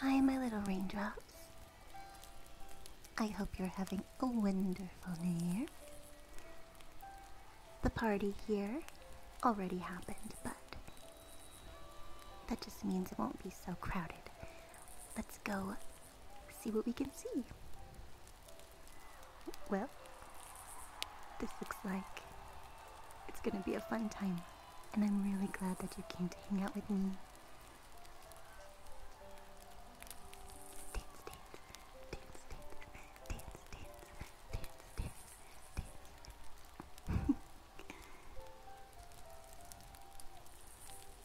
Hi, my little raindrops. I hope you're having a wonderful new year. The party here already happened, but that just means it won't be so crowded. Let's go see what we can see. Well, this looks like it's gonna be a fun time and I'm really glad that you came to hang out with me.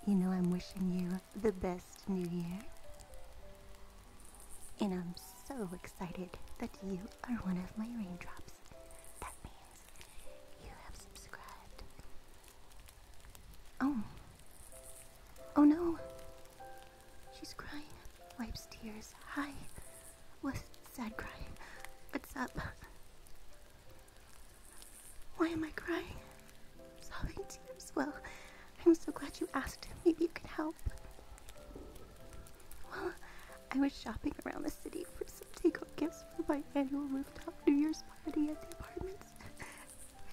you know, I'm wishing you the best new year. And I'm so excited that you are one of my raindrops. Oh. Oh no. She's crying. Wipes tears. Hi. Was sad crying. What's up? Why am I crying? Sobbing tears. Well, I'm so glad you asked. Maybe you can help. Well, I was shopping around the city for some takeout gifts for my annual rooftop New Year's party at the apartments,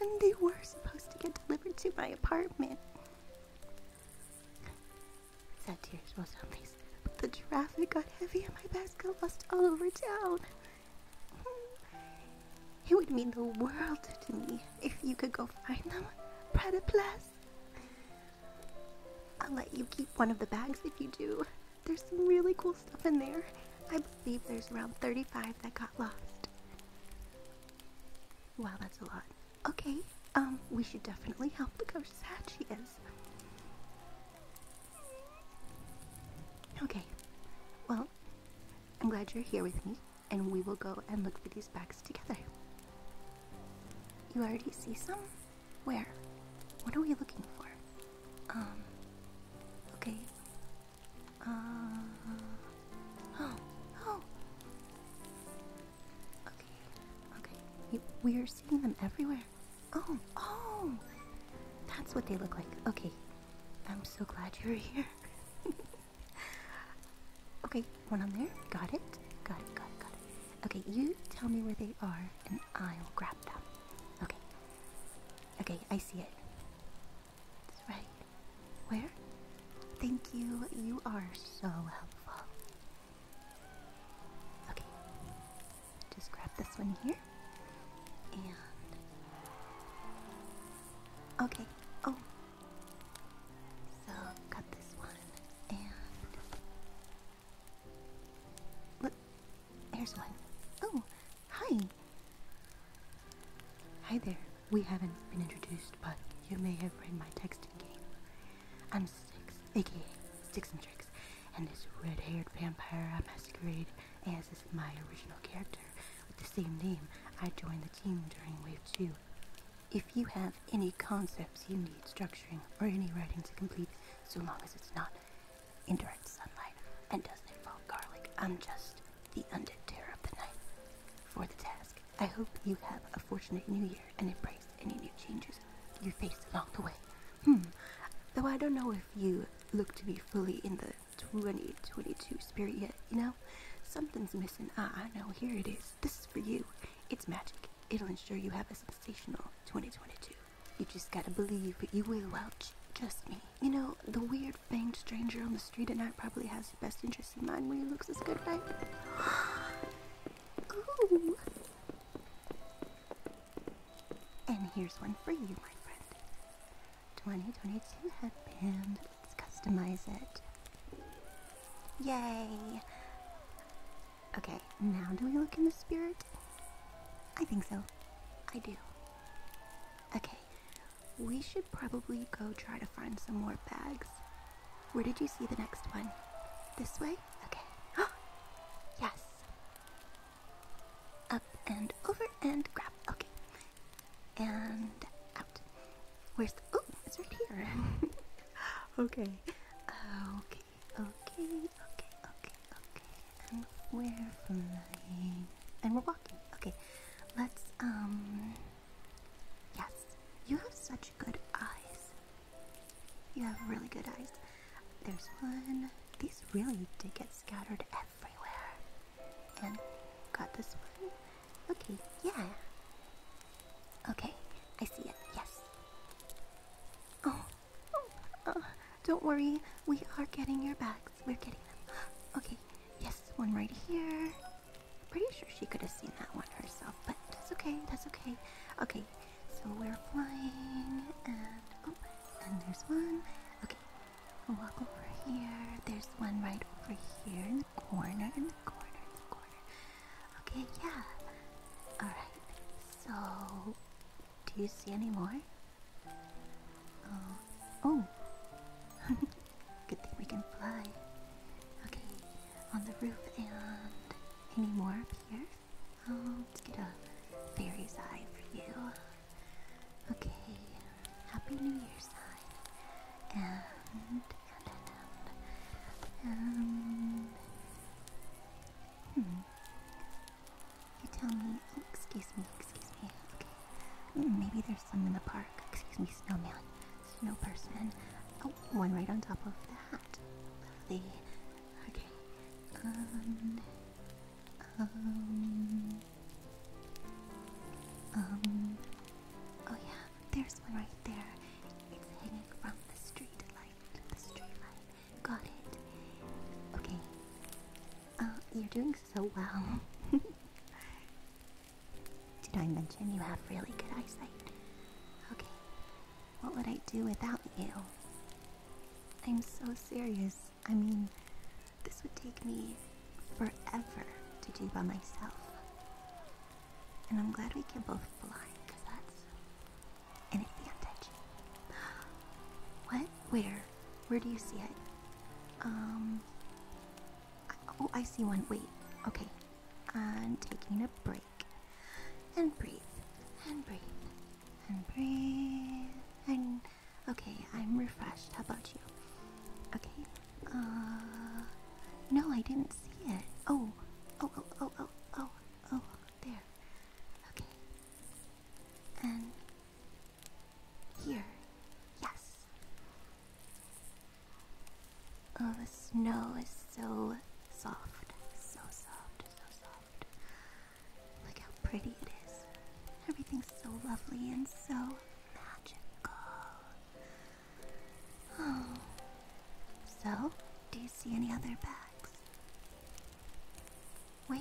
and they were supposed to get delivered to my apartment. Sad tears was on face, but the traffic got heavy and my bags got lost all over town. Hmm. It would mean the world to me if you could go find them, Prada Plus. I'll let you keep one of the bags if you do. There's some really cool stuff in there. I believe there's around 35 that got lost. Wow, that's a lot. Okay, um, we should definitely help. Look how sad she is. Okay, well, I'm glad you're here with me, and we will go and look for these bags together. You already see some? Where? What are we looking for? Um. Okay. Uh. Oh. Oh. Okay. Okay. we are seeing them everywhere. Oh. Oh. That's what they look like. Okay. I'm so glad you're here. okay. One on there. Got it. Got it. Got it. Got it. Okay. You tell me where they are, and I'll grab them. Okay. Okay, I see it. That's right. Where? Thank you. You are so helpful. Okay. Just grab this one here. And. Okay. Oh. So, cut this one. And. Look, there's one. Oh, hi. Hi there. We haven't been introduced, but you may have read my texting game. I'm Six, aka Six and Tricks, and this red haired vampire I masquerade as is my original character with the same name. I joined the team during Wave 2. If you have any concepts you need structuring or any writing to complete, so long as it's not indirect sunlight, and doesn't involve garlic. I'm just the undead of the night. For the task, I hope you have a fortunate new year and embrace any new changes you face along the way. Hmm, though I don't know if you look to be fully in the 2022 spirit yet, you know? Something's missing. Ah, I know, here it is. This is for you. It's magic. It'll ensure you have a sensational 2022. You just gotta believe, but you will, Welch. Trust me. You know, the weird fanged stranger on the street at night probably has your best interests in mind when he looks as good, right? Ooh. And here's one for you, my friend. 2022 headband. Let's customize it. Yay! Okay, now do we look in the spirit? I think so. I do. Okay, we should probably go try to find some more bags. Where did you see the next one? This way? Okay. yes! Up and over and grab. Okay. And out. Where's the. Oh, it's right here. okay. Okay. Okay, okay, okay, okay. And we're flying. And we're walking. Okay. Let's, um. Yes. You have such good eyes. You have really good eyes. There's one. These really did get scattered everywhere. And got this one. Okay, yeah. Okay, I see it. Yes. Oh, Oh, don't worry, we are getting your bags. We're getting them. Okay, yes, one right here. Pretty sure she could have seen that one herself, but that's okay, that's okay. Okay, so we're flying, and oh, and there's one. Okay, we walk over here. There's one right over here in the corner, in the corner, in the corner. Okay, yeah. Alright, so do you see any more? Oh, oh. Good thing we can fly. Okay, on the roof and any more up here? Oh, let's get a fairy's eye for you. Okay, happy New Year's sign. And hmm. You tell me. excuse me, excuse me. Okay. Mm, maybe there's some in the park. Excuse me, snowman. Snow person. Oh, one right on top of that. Lovely. Okay. Um. Um. Um. Oh, yeah. There's one right there. It's hanging from the streetlight. The street Got it. Okay. Uh, you're doing so well. Did I mention you have really good eyesight? Okay. What would I do without you? I'm so serious. I mean, this would take me forever to do by myself. And I'm glad we can both fly, because that's an advantage. What? Where? Where? do you see it? Um. oh, I see one. Wait. Okay. I'm taking a break. And breathe. And breathe. And breathe. And. Okay, I'm refreshed. How about you? Okay. Uh. No, I didn't see it. Oh. Oh, oh, oh, oh, oh, oh. There. Okay. And here. Yes. Oh, the snow is so soft. So soft. So soft. Look how pretty it is. Everything's so lovely and so magical. Oh. So, do you see any other bags? Where?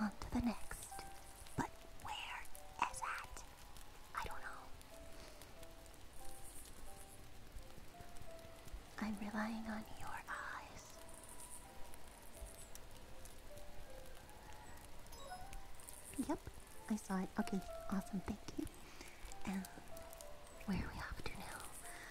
on to the next. But where is that? I don't know. I'm relying on your eyes. Yep, I saw it. Okay, awesome, thank you. And where are we off to now?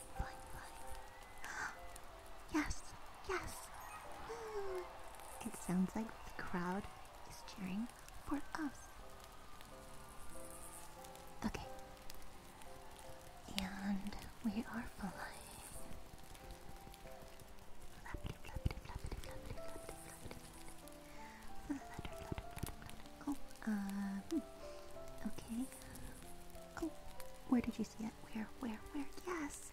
yes, yes. it sounds like the crowd is cheering for us. Okay. And we are flying. Oh, um, okay. Oh, where did you see it? Where, where, where? Yes!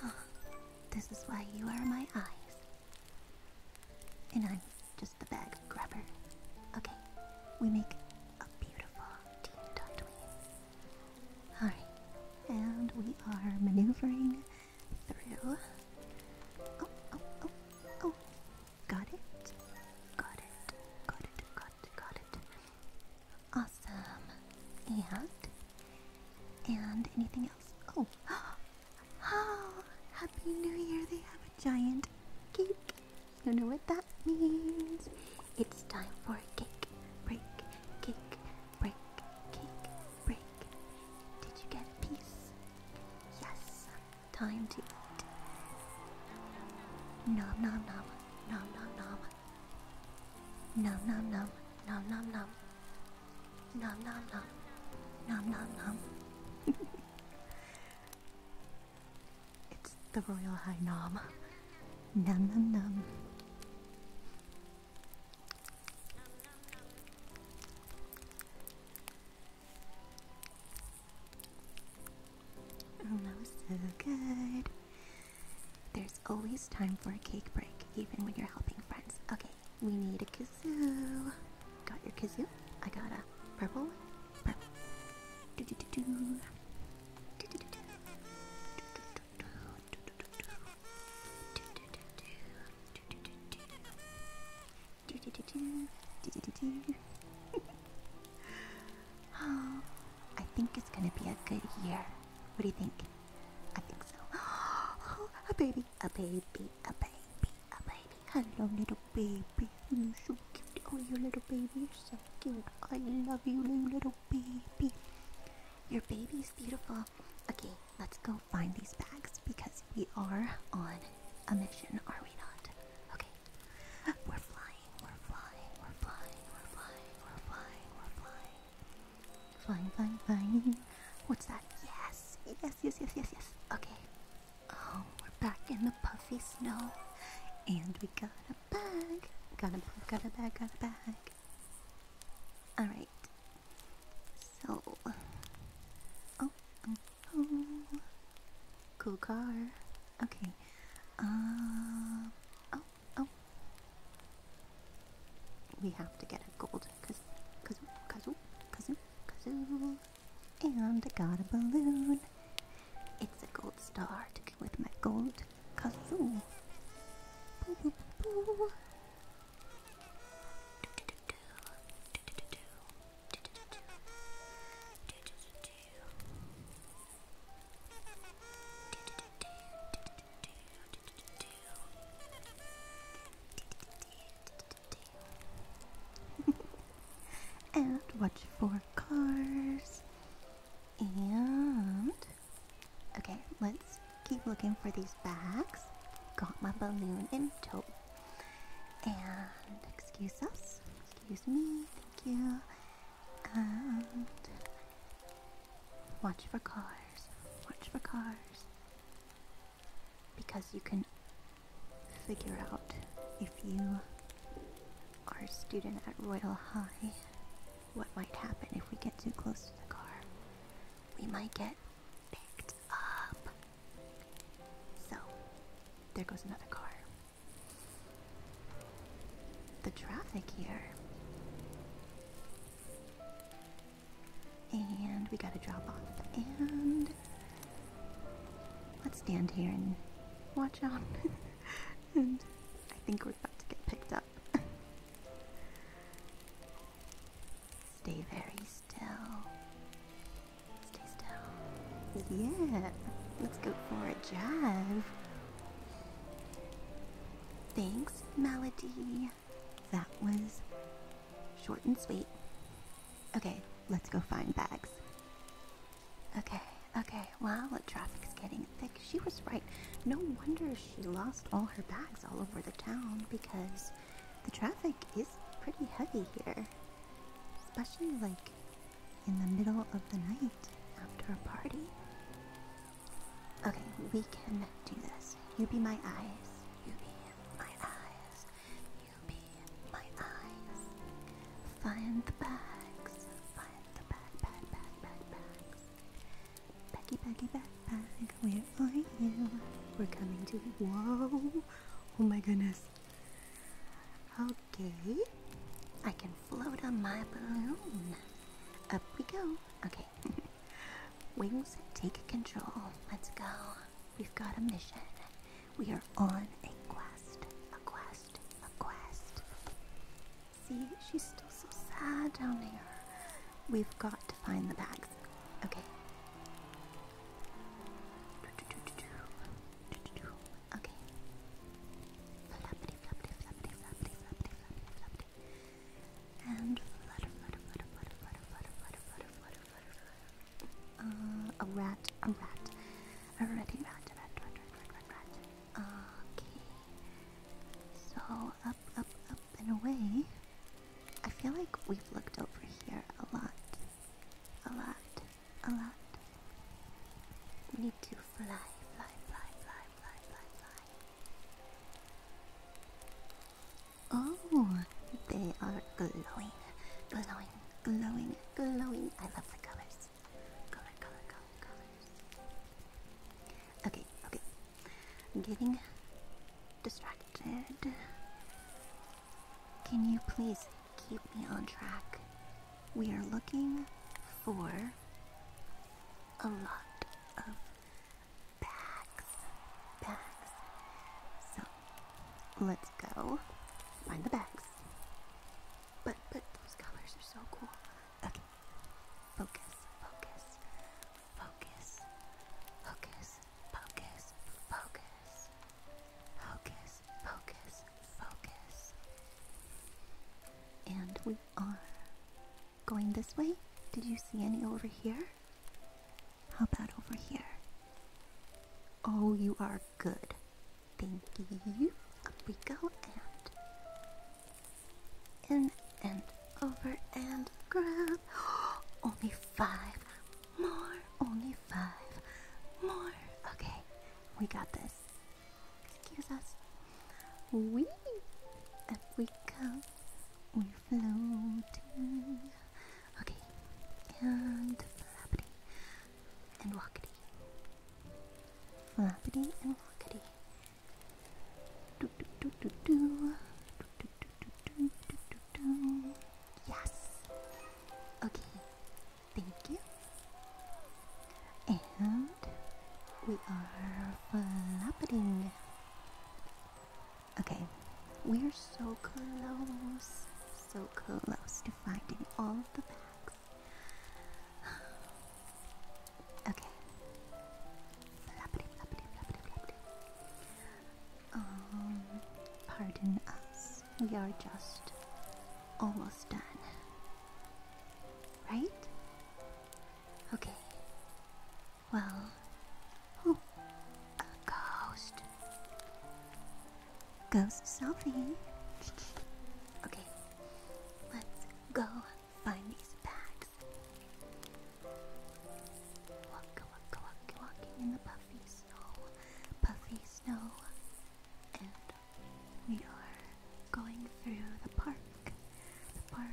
Huh. Ah, this is why you are my eyes. And I'm just the bag grabber. Okay, we make a beautiful team, don't we? Alright, and we are maneuvering through. Oh, oh, oh, oh, Got it? Got it. Got it. Got it. Got it. Awesome. And? And anything else? Oh. oh! Happy New Year. They have a giant cake. You know what that means. It's time for a cake break. Cake break. Cake break. Did you get a piece? Yes. Time to eat. Nom nom nom. Nom nom nom. Nom nom nom. Nom nom nom. Nom nom nom. it's the Royal High Nom. Nom nom nom. Oh, that was so good. There's always time for a cake break, even when you're helping friends. Okay, we need a kazoo. Got your kazoo? I got a purple. Purple. Oh, I think it's gonna be a good year. What do you think? I think so. a baby, a baby, a baby, a baby. Hello, little baby. You're so cute. Oh, you little baby, you're so cute. I love you, little baby. Your baby is beautiful. Okay, let's go find these bags because we are on a mission, are we not? Okay. We're flying, we're flying, we're flying, we're flying, we're flying, we're flying. Flying, flying, flying. What's that? Yes, yes, yes, yes, yes, yes. Okay. Oh, we're back in the puffy snow. And we got a bag. Got a bag, got a bag, got a bag. Alright. So. Oh, oh, oh. Cool car. Okay. Uh, oh, oh. We have to get a gold kazoo, kazoo, kazoo, kazoo, kazoo. And I got a balloon. It's a gold star to go with my gold kazoo. and watch for cars. And okay, let's keep looking for these bags. Got my balloon in tow. And excuse us. Excuse me, thank you. And um, watch for cars, watch for cars. Because you can figure out if you are a student at Royal High what might happen if we get too close to the car. We might get picked up. So, there goes another car. The traffic here. And we got a drop off. And let's stand here and watch out. and I think we're about to get picked up. Stay very still. Stay still. Yeah, let's go for a drive. Thanks, Melody. That was short and sweet. Okay, let's go find bags. Okay, okay, well, the traffic's getting thick. She was right. No wonder she lost all her bags all over the town because the traffic is pretty heavy here. Especially like in the middle of the night after a party. Okay, we can do this. You be my eyes. You be my eyes. You be my eyes. Find the bags. Find the bag, bag, bag, bag, bags. Baggy, baggy, backpack. Where are you? We're coming to you. Whoa. Oh my goodness. Okay. I can float on my balloon. Up we go. Okay. Wings, take control. Let's go. We've got a mission. We are on a quest. A quest. A quest. See, she's still so sad down there. We've got to find the bags. Okay. Okay. And a rat, a rat. A ratty rat, rat, rat, rat, rat. Okay. So, up, up, up, and away. I feel like we've looked over here a lot. A lot a lot. We need to fly, fly, fly, fly, fly, fly, fly. Oh, they are glowing, glowing, glowing, glowing. I love the colors. Color, color, color, colors. Okay, okay. I'm getting distracted. Can you please keep me on track? we are looking for a lot of bags. Bags. So let's go find the bags. But but those colors are so cool. Okay. Focus, focus, focus, focus, focus, focus, focus, focus, focus, And we are going this way. Did you see any over here? How about over here? Oh, you are good. Thank you. we go and in and over and grab. Only five more. Only five more. Okay, we got this. Excuse us. We up we go. We're floating. Okay. And flappity and walkity. Flappity and walkity. do do do do. Do do do do do do do do. Yes. Okay. Thank you. And we are flapping. Okay, we're so close, so close to finding all the bags. okay. Flappity, flappity, flappity, flappity. Um, pardon us. We are just almost done. Right? Okay. Well, oh, a ghost. Ghost selfie. okay, let's go find these bags. Walk, walk, walking in the puffy snow, puffy snow, we are going through the park. The park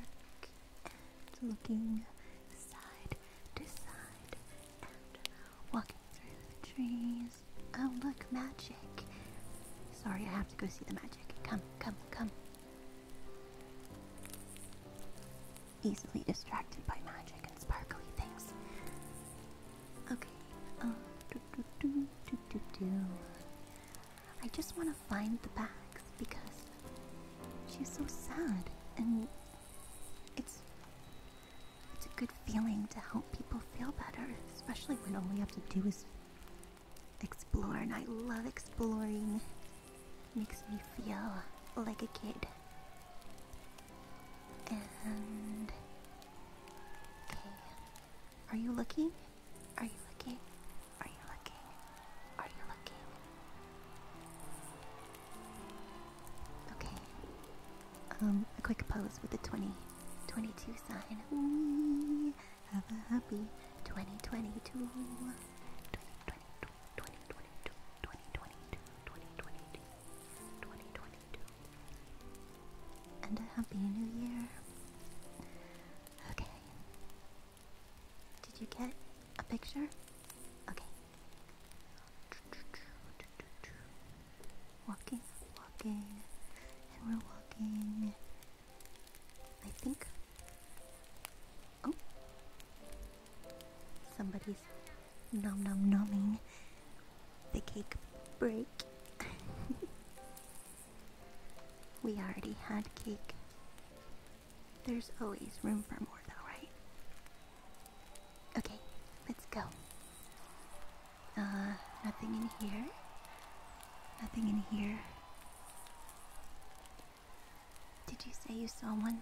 looking side to side and walking through the trees. Oh, look, magic. Sorry, I have to go see the magic. Come, come, come. Easily distracted by magic and sparkly things. Okay, um, I just want to find the bags because she's so sad and it's it's a good feeling to help people feel better, especially when all we have to do is explore and I love exploring. Makes me feel like a kid. And okay. Are you looking? Are you looking? Are you looking? Are you looking? Okay. Um, a quick pose with the twenty twenty-two sign. We have a happy 2022. And a happy new year. Okay. Did you get a picture? Okay. Walking, walking, and we're walking. I think. Oh. Somebody's nom nom nomming the cake break. We already had cake. There's always room for more, though, right? Okay, let's go. Uh, nothing in here. Nothing in here. Did you say you saw one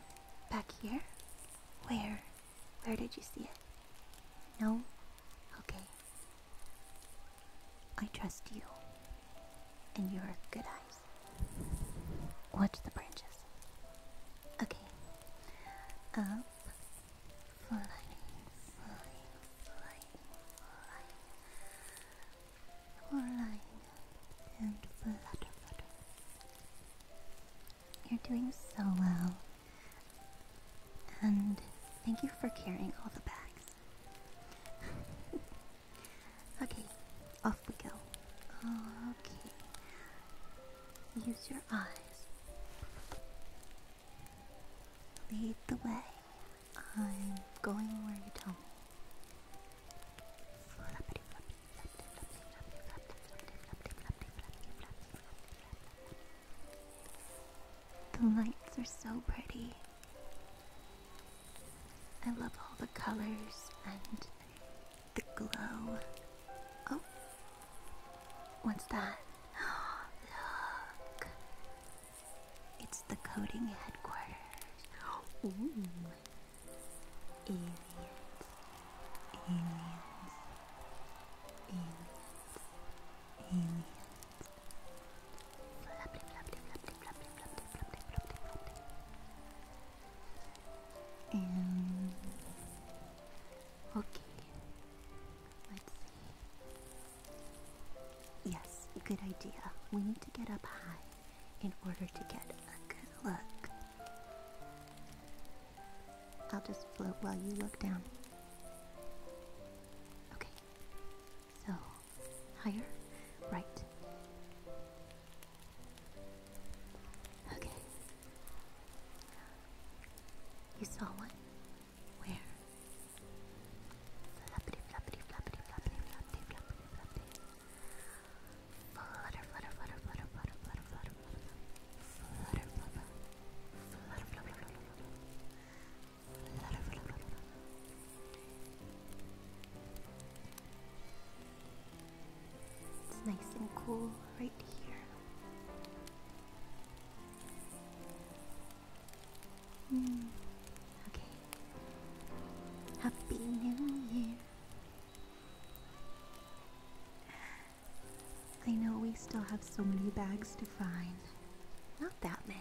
back here? Where? Where did you see it? No? Okay. I trust you and your good eyes. Watch the branches. Okay. Um, and flutter, flutter. You're doing so well. And thank you for carrying all the bags okay, off we go. Okay. Use your eyes. Lead the way. I'm going where you tell me. The lights are so pretty. I love all the colors and the glow. Oh, what's that? Look, it's the coding headquarters. okay, let's see. Yes, good idea. We need to get up high in order to get a good look. I'll just float while you look down. Okay. So, higher, right. Okay. You saw one? Where? It's nice and cool right here. Mm, okay. Happy New Year. I know we still have so many bags to find. Not that many.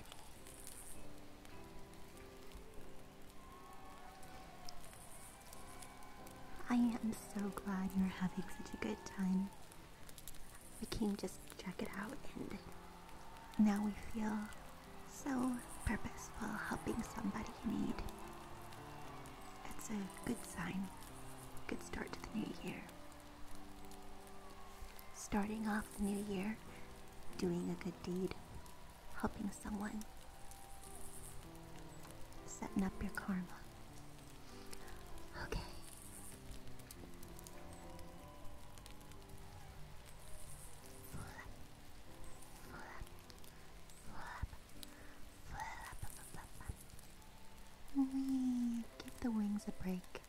I am so glad you're having such a good time. We came just to check it out, and now we feel so purposeful helping somebody in need. It's a good sign, good start to the new year. Starting off the new year doing a good deed, helping someone, setting up your karma. Okay. Full up. Full up. Full up. Full up. Give the wings a break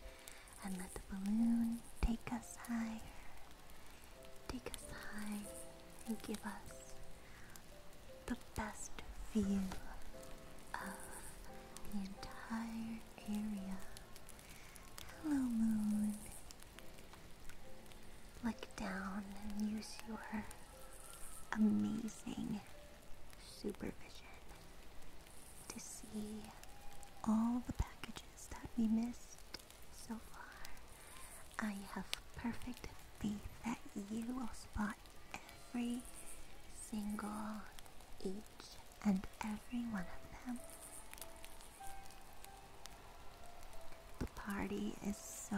and let the balloon take us higher. Take us high and give us the best view of the entire area. Hello, moon. Look down and use your amazing supervision to see all the packages that we missed so far, I have perfect faith that you will spot every single, each and every one of them. The party is so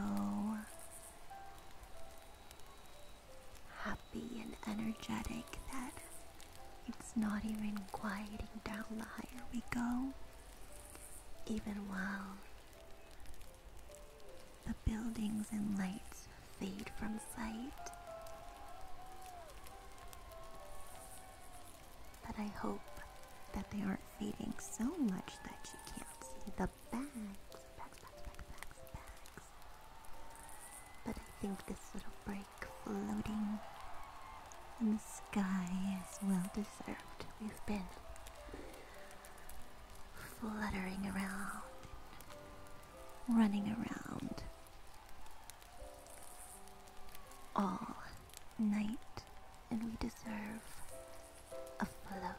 happy and energetic that it's not even quieting down the higher we go even while the buildings and lights fade from sight. But I hope that they aren't fading so much that you can't see the bags, But I think this little break floating and the sky is well deserved. We've been fluttering around, running around all night, and we deserve a float.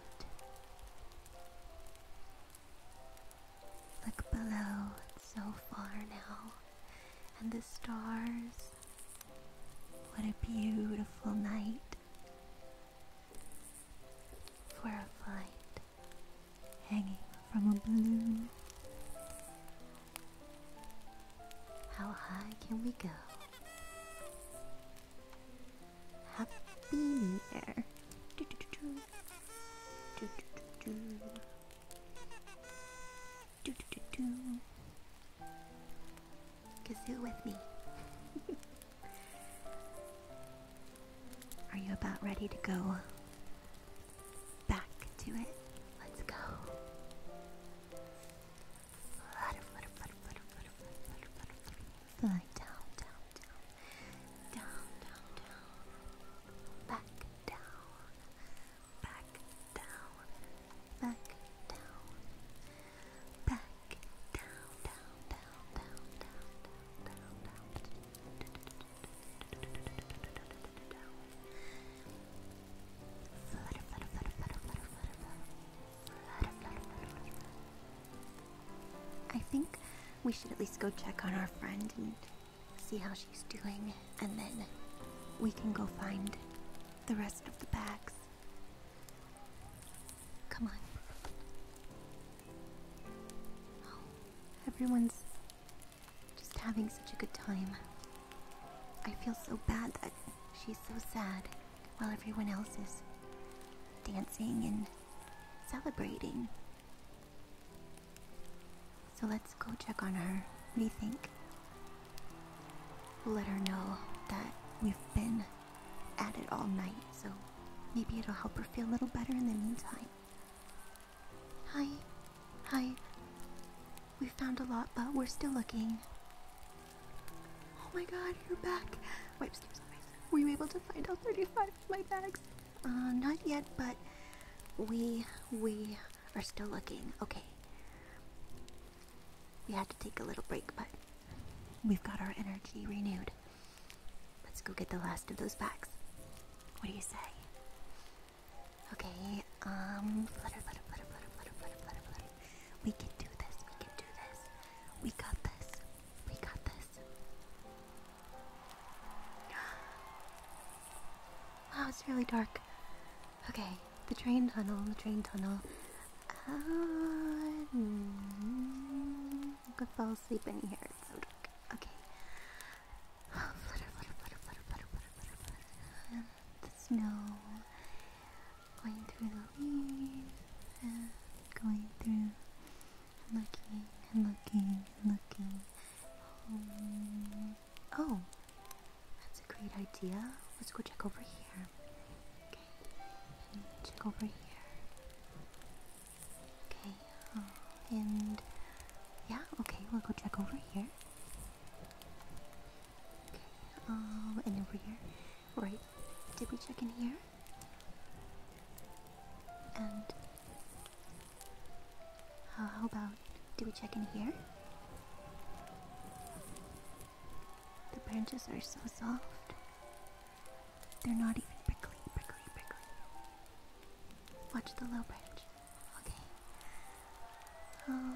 Look below, so far now, and the stars what a beautiful night for a flight hanging from a balloon. How high can we go? Happy New Year. Do do do do. Kazoo with me. Are you about ready to go back to it? Let's go. down, down. Down, down, down. Back down. I think we should at least go check on our friend and see how she's doing, and then we can go find the rest of the bags. Come on. Oh, everyone's just having such a good time. I feel so bad that she's so sad while everyone else is dancing and celebrating. So let's go check on her. What do you think? Let her know that we've been at it all night, so maybe it'll help her feel a little better in the meantime. Hi. Hi. We found a lot, but we're still looking. Oh my god, you're back. Wipes, Were you able to find all 35 of my bags? Uh, not yet, but we, we are still looking okay. We had to take a little break, but we've got our energy renewed. Let's go get the last of those bags. What do you say? Okay, um, flutter, flutter, flutter, flutter, flutter, flutter, flutter, flutter. We can do this, we can do this. We got this, we got this. Wow, it's really dark. Okay, the train tunnel, the train tunnel. Uh, I could fall asleep in here. Okay. flutter, flutter, flutter, flutter, flutter, flutter, flutter, the snow going through the leaves and going through, looking and looking and looking. oh, oh great idea. Let's go check over here. Okay. Check over here. Okay. Uh, and yeah, okay, we'll go check over here. Okay. Um, and over here. Right. Did we check in here? And how, about Did we check in here? The branches are so soft. They're not even prickly, prickly, prickly. Watch the low branch. Okay. Oh.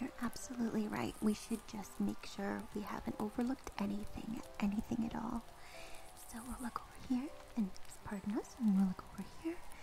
You're absolutely right. We should just make sure we haven't overlooked anything, anything at all. So we'll look over here, and pardon us, and we'll look over here,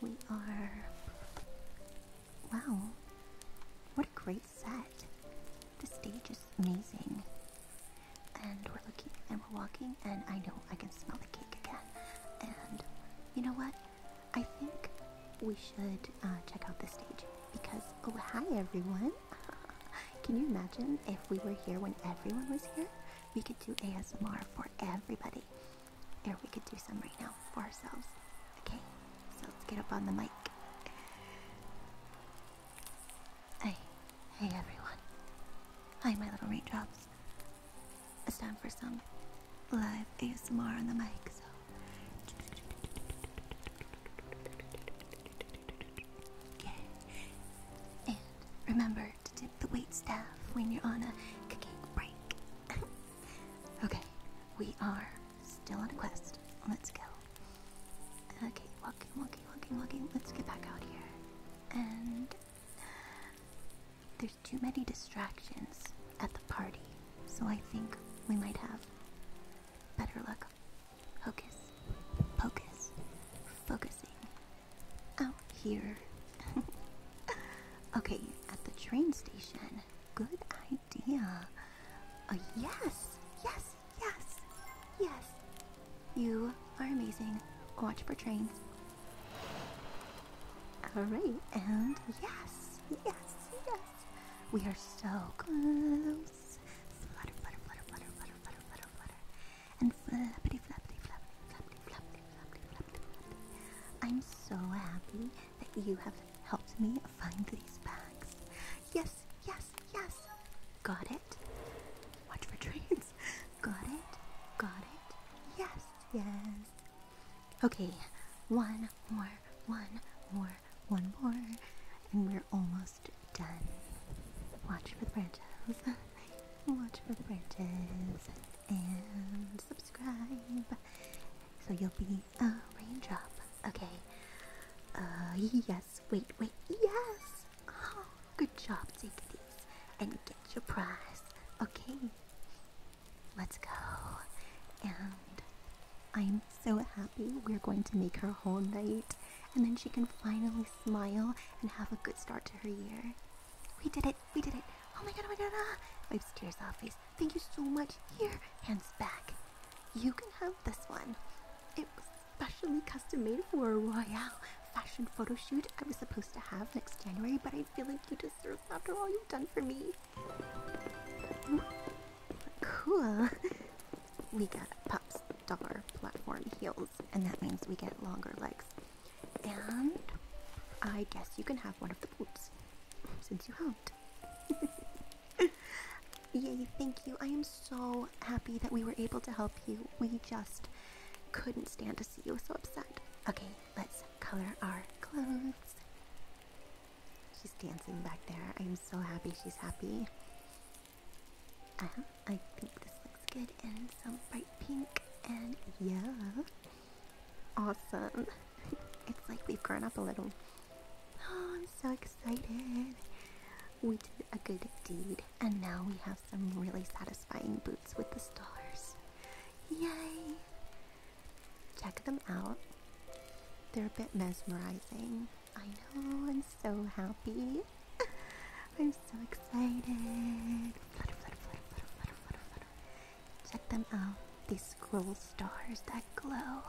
we are. Wow, what a great set! The stage is amazing. And we're looking and we're walking, and I know I can smell the cake again. And you know what? I think we should uh, check out the stage because, oh, hi everyone! Can you imagine if we were here when everyone was here? We could do ASMR for everybody. Here, we could do some right now for ourselves. Okay, so let's get up on the mic. Hey, hey everyone. Hi, my little raindrops. It's time for some live ASMR on the mic, so. And remember to do the wait staff when you're on a cooking break. okay, we are still on a quest. Let's go. Okay, walking, walking, walking, walking. Let's get back out here. And there's too many distractions at the party, so I think we might have better luck. Hocus, pocus, focusing out here. okay, at the train station. Good idea. Uh, yes, yes, yes, yes. You are amazing. Watch for trains. Alright, and yes, yes, yes. We are so close. Flutter, flutter, flutter, flutter, flutter, flutter, flutter, flutter. And flappity, flappity, flappity, flappity, flappity, flappity, flappity. I'm so happy that you have helped me find these bags. Yes, yes, yes. Got it? Watch for trains. Got it? Got it? Yes, yes. Okay, one more, one more, one more, and we're almost done. Watch for the branches. Watch for the branches. And subscribe. So you'll be a raindrop. Okay. Uh, yes. Wait, wait. Yes. Oh, good job. Take this and get your prize. Okay. Let's go. And I'm so happy. We're going to make her whole night. And then she can finally smile and have a good start to her year. We did it. We did it. Oh my god, oh my god. Ah. Wipes tears off face. Thank you so much. Here, hands back. You can have this one. It was specially custom made for a royal fashion photo shoot I was supposed to have next January, but I feel like you deserve after all you've done for me. Cool. We got pop star platform heels, and that means we get longer legs. And I guess you can have one of the boots since you helped. Yay, thank you. I am so happy that we were able to help you. We just couldn't stand to see you so upset. Okay, let's color our clothes. She's dancing back there. I am so happy she's happy. Uh-huh, I think this looks good and some bright pink and yeah. Awesome. it's like we've grown up a little. Oh, I'm so excited. We did a good deed, and now we have some really satisfying boots with the stars. Yay! Check them out. They're a bit mesmerizing. I know, I'm so happy. I'm so excited. Check them out, these cool stars that glow.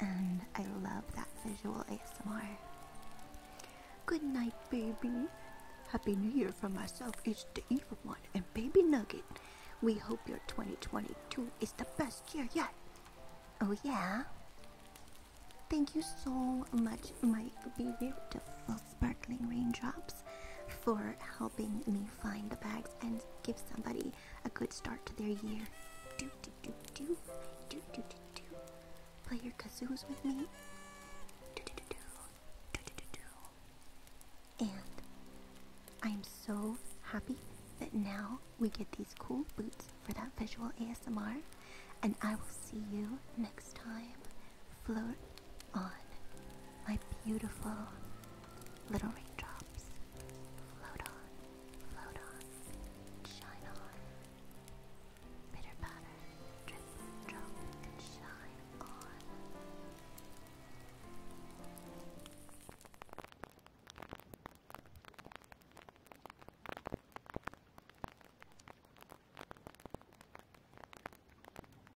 And I love that visual ASMR. Good night, baby. Happy New Year from myself. It's the evil one and baby nugget. We hope your 2022 is the best year yet. Oh, yeah? Thank you so much, my beautiful sparkling raindrops for helping me find the bags and give somebody a good start to their year. Do do do do do do do do. Play your kazoos with me. Do do do do do do do do. And I'm so happy that now we get these cool boots for that visual ASMR. And I will see you next time float on. My beautiful little raindrops. Float on, float on, shine on. Bitter patter, drip, drop, and shine on.